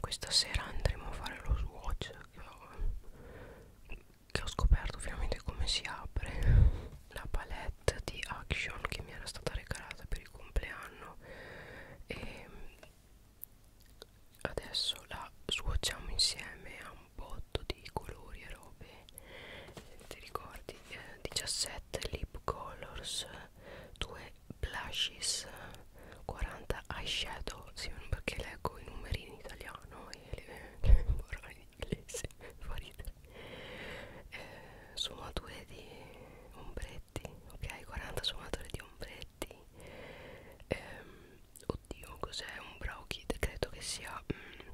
questa sera andremo a fare lo swatch che ho, che ho scoperto finalmente come si apre la palette di Action che mi era stata regalata per il compleanno e adesso la swatchiamo insieme a un botto di colori e robe ti ricordi eh, 17 7 lip colors 2 blushes 40 eyeshadow sì, perché leggo i numeri in italiano e le, le morali in inglese fa ridere eh, sfumature di ombretti ok 40 sfumature di ombretti eh, oddio cos'è un brow kit credo che sia mm,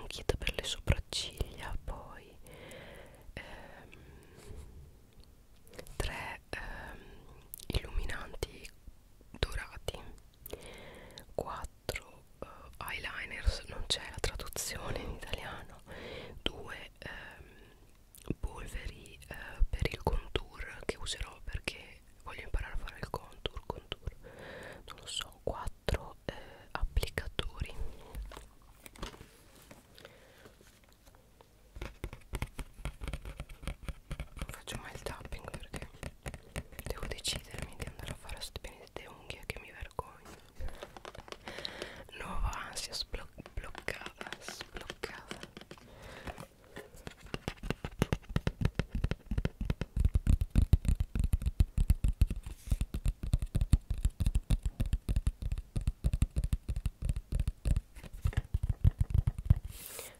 un kit per le sopracciglia poi ehm, tre ehm, illuminanti dorati 4 eh, eyeliners non c'è la traduzione in italiano 2 ehm, polveri eh, per il contour che userò perché voglio imparare a fare il contour contour non lo so 4 quattro eh, applicatori non faccio mai il tapping perché devo decidermi di andare a fare queste benedette unghie che mi vergogno nuova ansia sbloccata sbloccata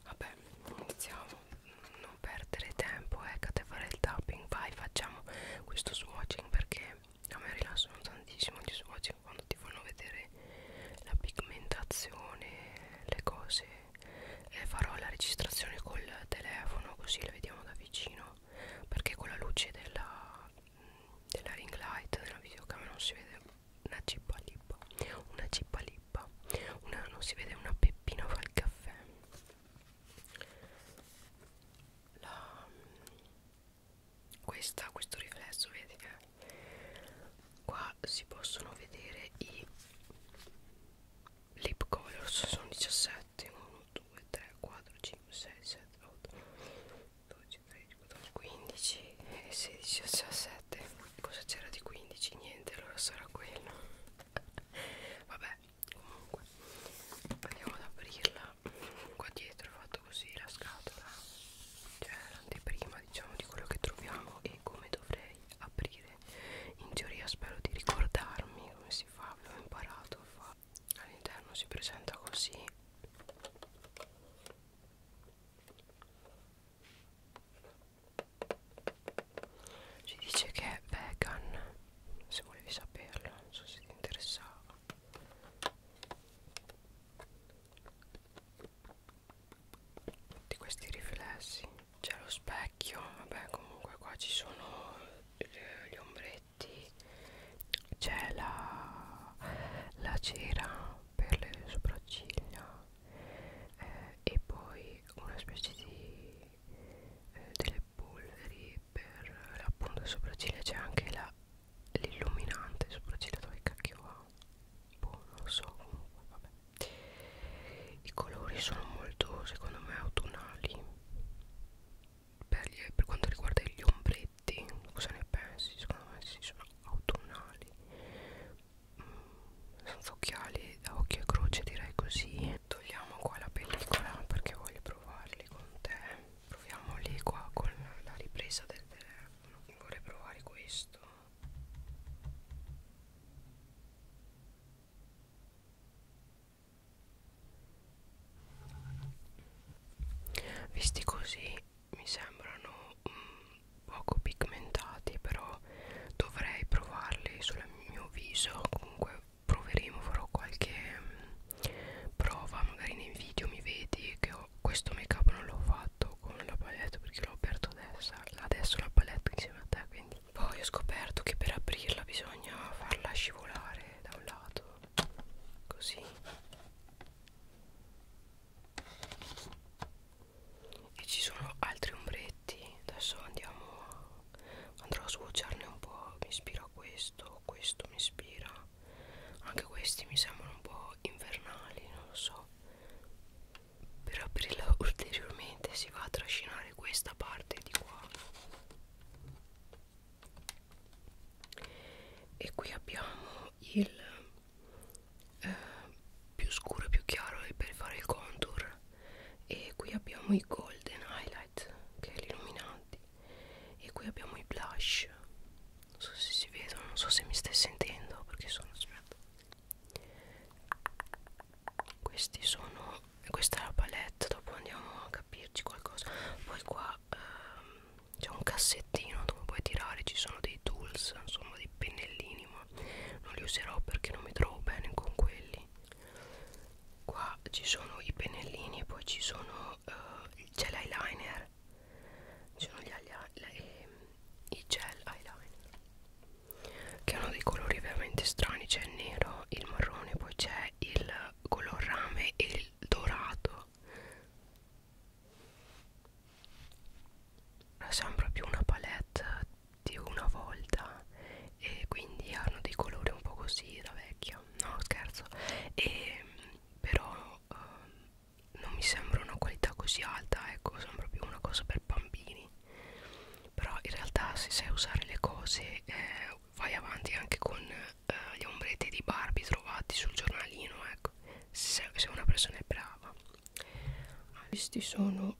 Vabbè, iniziamo, non perdere tempo, ecco, a fare il tapping, vai, facciamo questo swatching perché a me rilassano tantissimo gli swatching quando ti fanno vedere la pigmentazione, le cose. Eh, farò la registrazione col telefono così la vediamo da vicino perché con la luce della, della ring light della videocamera non si vede una cippa lippa una cippa lippa una, non si vede una peppina fa il caffè la, questa, questo riflesso vedi che qua si possono vedere i lip colors sono 17 7 1 2 3 4 5 6 7 8 12 13 14 15 e 16 17 cosa c'era di 15 niente allora sarà quello vabbè comunque andiamo ad aprirla qua dietro ho fatto così la scatola cioè l'anteprima diciamo di quello che troviamo e come dovrei aprire in teoria spero di ricordarmi come si fa, l'ho imparato a all'interno si presenta così ci dice che è vegan se volevi saperlo non so se ti interessava di questi riflessi c'è lo specchio vabbè comunque qua ci sono gli ombretti infatti c'è la, la cera per le sopracciglia eh, e poi una specie di eh, delle polveri per appunto le sopracciglia c'è anche l'illuminante sopracciglia dove cacchio va boh non lo so comunque vabbè i colori sono molto secondo me autunnali per, gli, per quanto riguarda gli ombretti cosa ne pensi? secondo me si sono autunnali mm, senza occhiali da occhio e croce direi così togliamo qua la pellicola perché voglio provarli con te proviamoli qua con la ripresa del telefono vorrei provare questo Visti così mi sembrano mm, poco pigmentati, però dovrei provarli sul mio viso. Comunque proveremo, farò qualche mm, prova, magari nei video mi vedi che ho, questo make up non l'ho fatto con la palette perché l'ho aperto adesso, adesso la palette insieme a te, quindi poi ho scoperto che per aprirla bisogna farla scivolare da un lato così e ci sono altri ombretti adesso andiamo a, andrò a sbocciarne un po' mi ispira questo questo mi ispira anche questi mi sembrano un po' invernali non lo so per aprirla ulteriormente si va a trascinare questa parte di qua e qui abbiamo il eh, più scuro e più chiaro per fare il contour e qui abbiamo i golden highlight che è l'illuminante e qui abbiamo i blush non so se si vedono non so se mi stai sentendo perché sono aspetta questi sono questa è la palette dopo andiamo a capirci qualcosa poi qua ehm, c'è un cassettino dove puoi tirare ci sono dei tools insomma dei pennellini ma non li userò perché non mi trovo bene con quelli qua ci sono i pennellini e poi ci sono eh, c'è l'eyeliner ci sono gli le, ehm, i gel eyeliner che hanno dei colori veramente strani c'è il nero il marrone poi c'è il color rame e il dorato sembra più una palette di una volta e quindi hanno dei colori un po' così da vecchia no scherzo e però eh, non mi sembra una qualità così alta ecco sembra più una cosa per bambini però in realtà se sai usare le cose eh, vai avanti anche con eh, gli ombretti di Barbie trovati sul giornalino ecco se, se una persona è brava ah, questi sono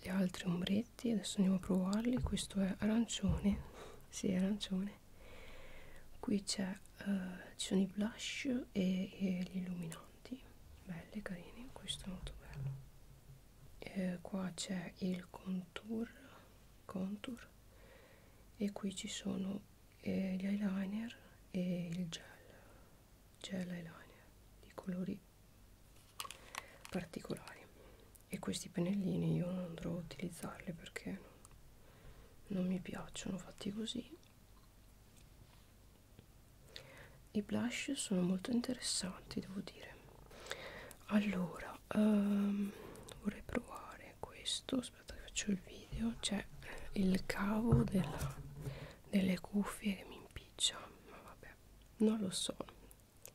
gli altri ombretti adesso andiamo a provarli questo è arancione si sì, è arancione qui c'è eh, ci sono i blush e, e gli illuminanti belli carini questo è molto bello eh, qua c'è il contorno contour, contour e qui ci sono eh, gli eyeliner e il gel gel eyeliner di colori particolari e questi pennellini io non andrò a utilizzarli perché non, non mi piacciono fatti così i blush sono molto interessanti devo dire allora um, vorrei provare questo aspetta che faccio il video c'è il cavo della, delle cuffie che mi impiccia ma vabbè non lo so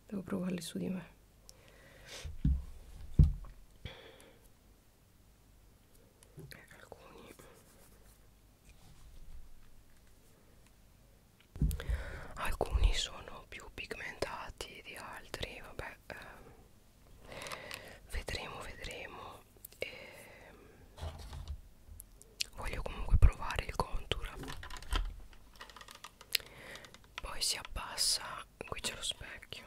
devo provarli su di me eh, alcuni alcuni sono più pigmentati di altri vabbè ehm, vedremo vedremo ehm, voglio comunque provare il contour poi si abbassa qui c'è lo specchio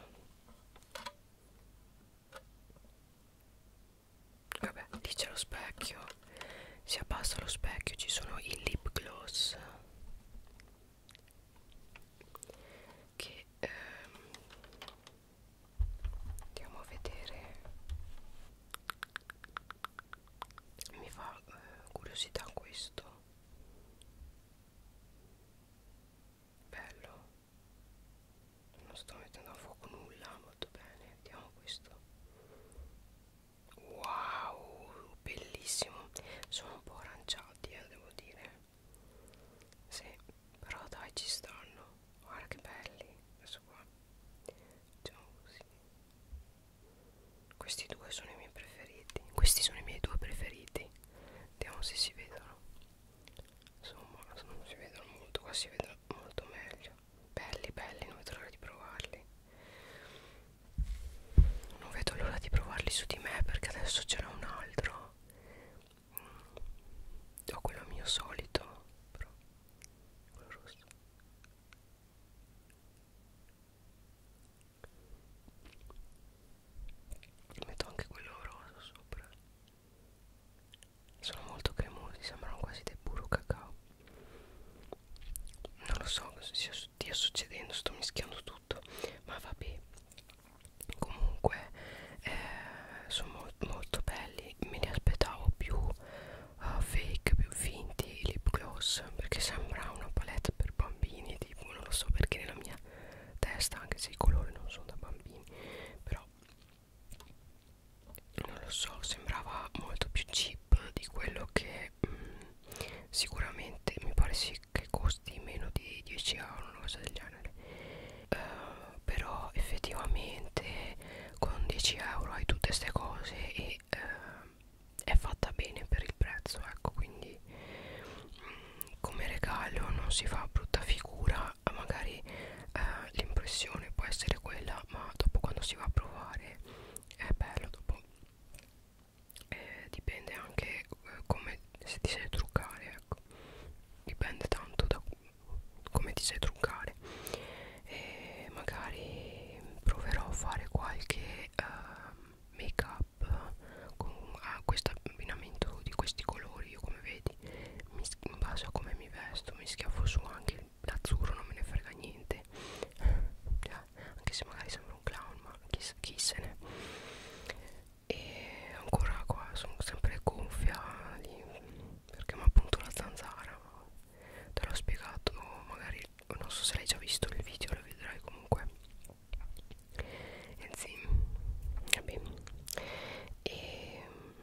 vabbè lì c'è lo specchio si abbassa lo specchio ci sono i lip gloss che ehm, andiamo a vedere mi fa eh, curiosità questo bello non sto mettendo a fuoco nulla molto bene vediamo questo wow bellissimo sono un po' aranciati eh, devo dire sì però dai ci stanno guarda che belli adesso qua facciamo così questi due sono i miei preferiti questi sono i miei due preferiti vediamo se si vedono insomma non si vedono molto qua si vedono molto meglio belli belli non vedo l'ora di provarli non vedo l'ora di provarli su di me perché adesso ce n'è un altro mm. ho quello mio solito però quello rosso metto anche quello rosso sopra sono molto cremosi sembrano quasi dei burro cacao non lo so cosa stia, stia succedendo sto mischiando tutto ma vabbè comunque eh, sono molto, molto belli me ne aspettavo più uh, fake più finti lip gloss perché sembra una palette per bambini tipo non lo so perché nella mia testa anche se i colori non sono da bambini però non lo so sembrava molto più cheap di quello che mm, sicuramente mi pare sì che costi meno di 10 euro una cosa del genere uh, però effettivamente con 10 euro hai tutte queste cose e uh, è fatta bene per il prezzo ecco quindi mh, mm, come regalo non si fa brutta figura magari uh, l'impressione può essere quella ma dopo quando si va a provare è bello dopo eh, dipende anche eh, come se ti sai truccare ecco dipende tanto da come ti sai truccare e magari proverò a fare qualche uh, ehm, make up con uh, questo abbinamento di questi colori io come vedi mi, in base a come mi vesto mi schiaffo su anche l'azzurro non me ne frega niente eh, anche se magari sembra un clown ma chi, chi se ne e ancora qua sono sempre gonfia lì, perché ma appunto la zanzara te l'ho spiegato magari non so se l'hai già visto il video lo vedrai comunque e eh sì vabbè e ehm,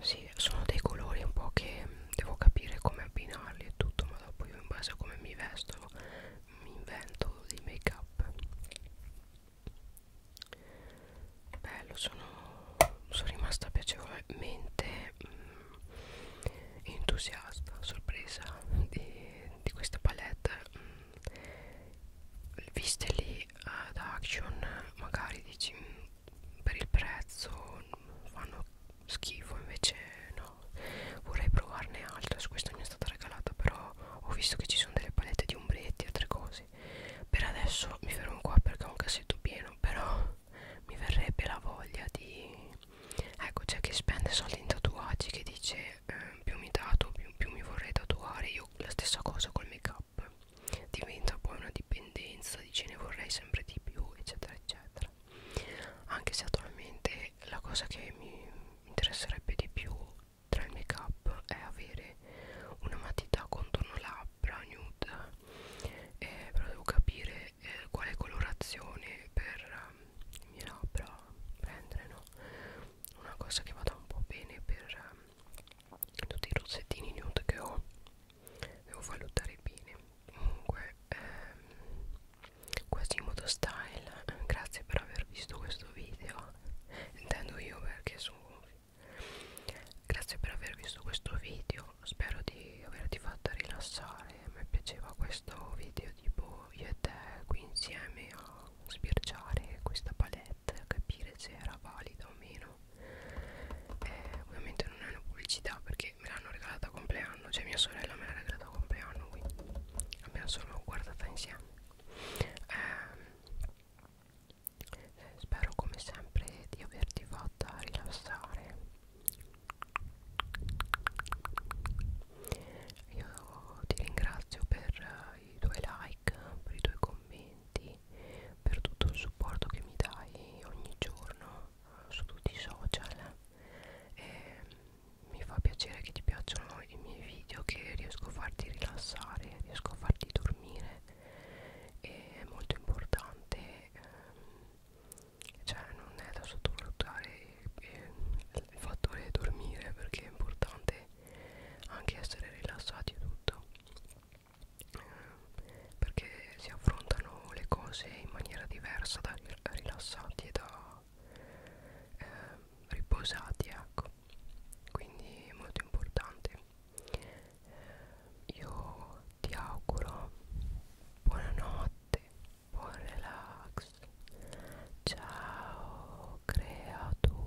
sì e sono dei colori un po' che devo capire come abbinarli e tutto ma dopo io in base a come mi vesto mi invento dei make up bello sono, sono rimasta piacevolmente mh, mm, entusiasta sorpresa di, di questa palette mh, mm, viste lì eh, ad action magari dici mm, per il prezzo fanno schifo invece no vorrei provarne altre su questa mi è stata regalata però ho visto che ci sono delle palette di ombretti e altre cose per adesso mi fermo qua perché ho un cassetto pieno però mi verrebbe la voglia di ecco c'è chi spende soldi in tatuaggi che dice eh, più mi dato più, più mi vorrei tatuare io la stessa cosa col make up diventa poi una dipendenza dice ne vorrei sempre di più eccetera eccetera anche se attualmente la cosa che mi interesserebbe di più tra il make up è avere una matita contorno labbra nude eh, però devo capire eh, quale colorazione per eh, i miei labbra prendere no? una cosa che vada un po' bene per eh, tutti i rossettini nude che ho devo valutare bene comunque ehm, Quasimodo Style grazie per aver visto questo video intendo io perché sono grazie per aver visto questo video spero di averti fatta rilassare mi piaceva questo video tipo io e te qui insieme a sbirciare questa palette a capire se era valida o meno eh, ovviamente non è una pubblicità perché me l'hanno regalata a compleanno cioè mia sorella me l'ha regalata a compleanno quindi abbiamo solo guardata insieme eh, eh, spero come sempre di averti fatta rilassare io ti ringrazio per uh, i tuoi like per i tuoi commenti per tutto il supporto che mi dai ogni giorno su tutti i social e mi fa piacere che ti piacciono i miei video che riesco a farti rilassare riesco a farti dormire e è molto importante ehm, cioè non è da sottovalutare eh, il fattore dormire perché è importante anche essere rilassati e tutto perché si affrontano le cose in maniera diversa da rilassati e da eh, riposati ecco quindi è molto importante io ti auguro buonanotte buon relax ciao creatura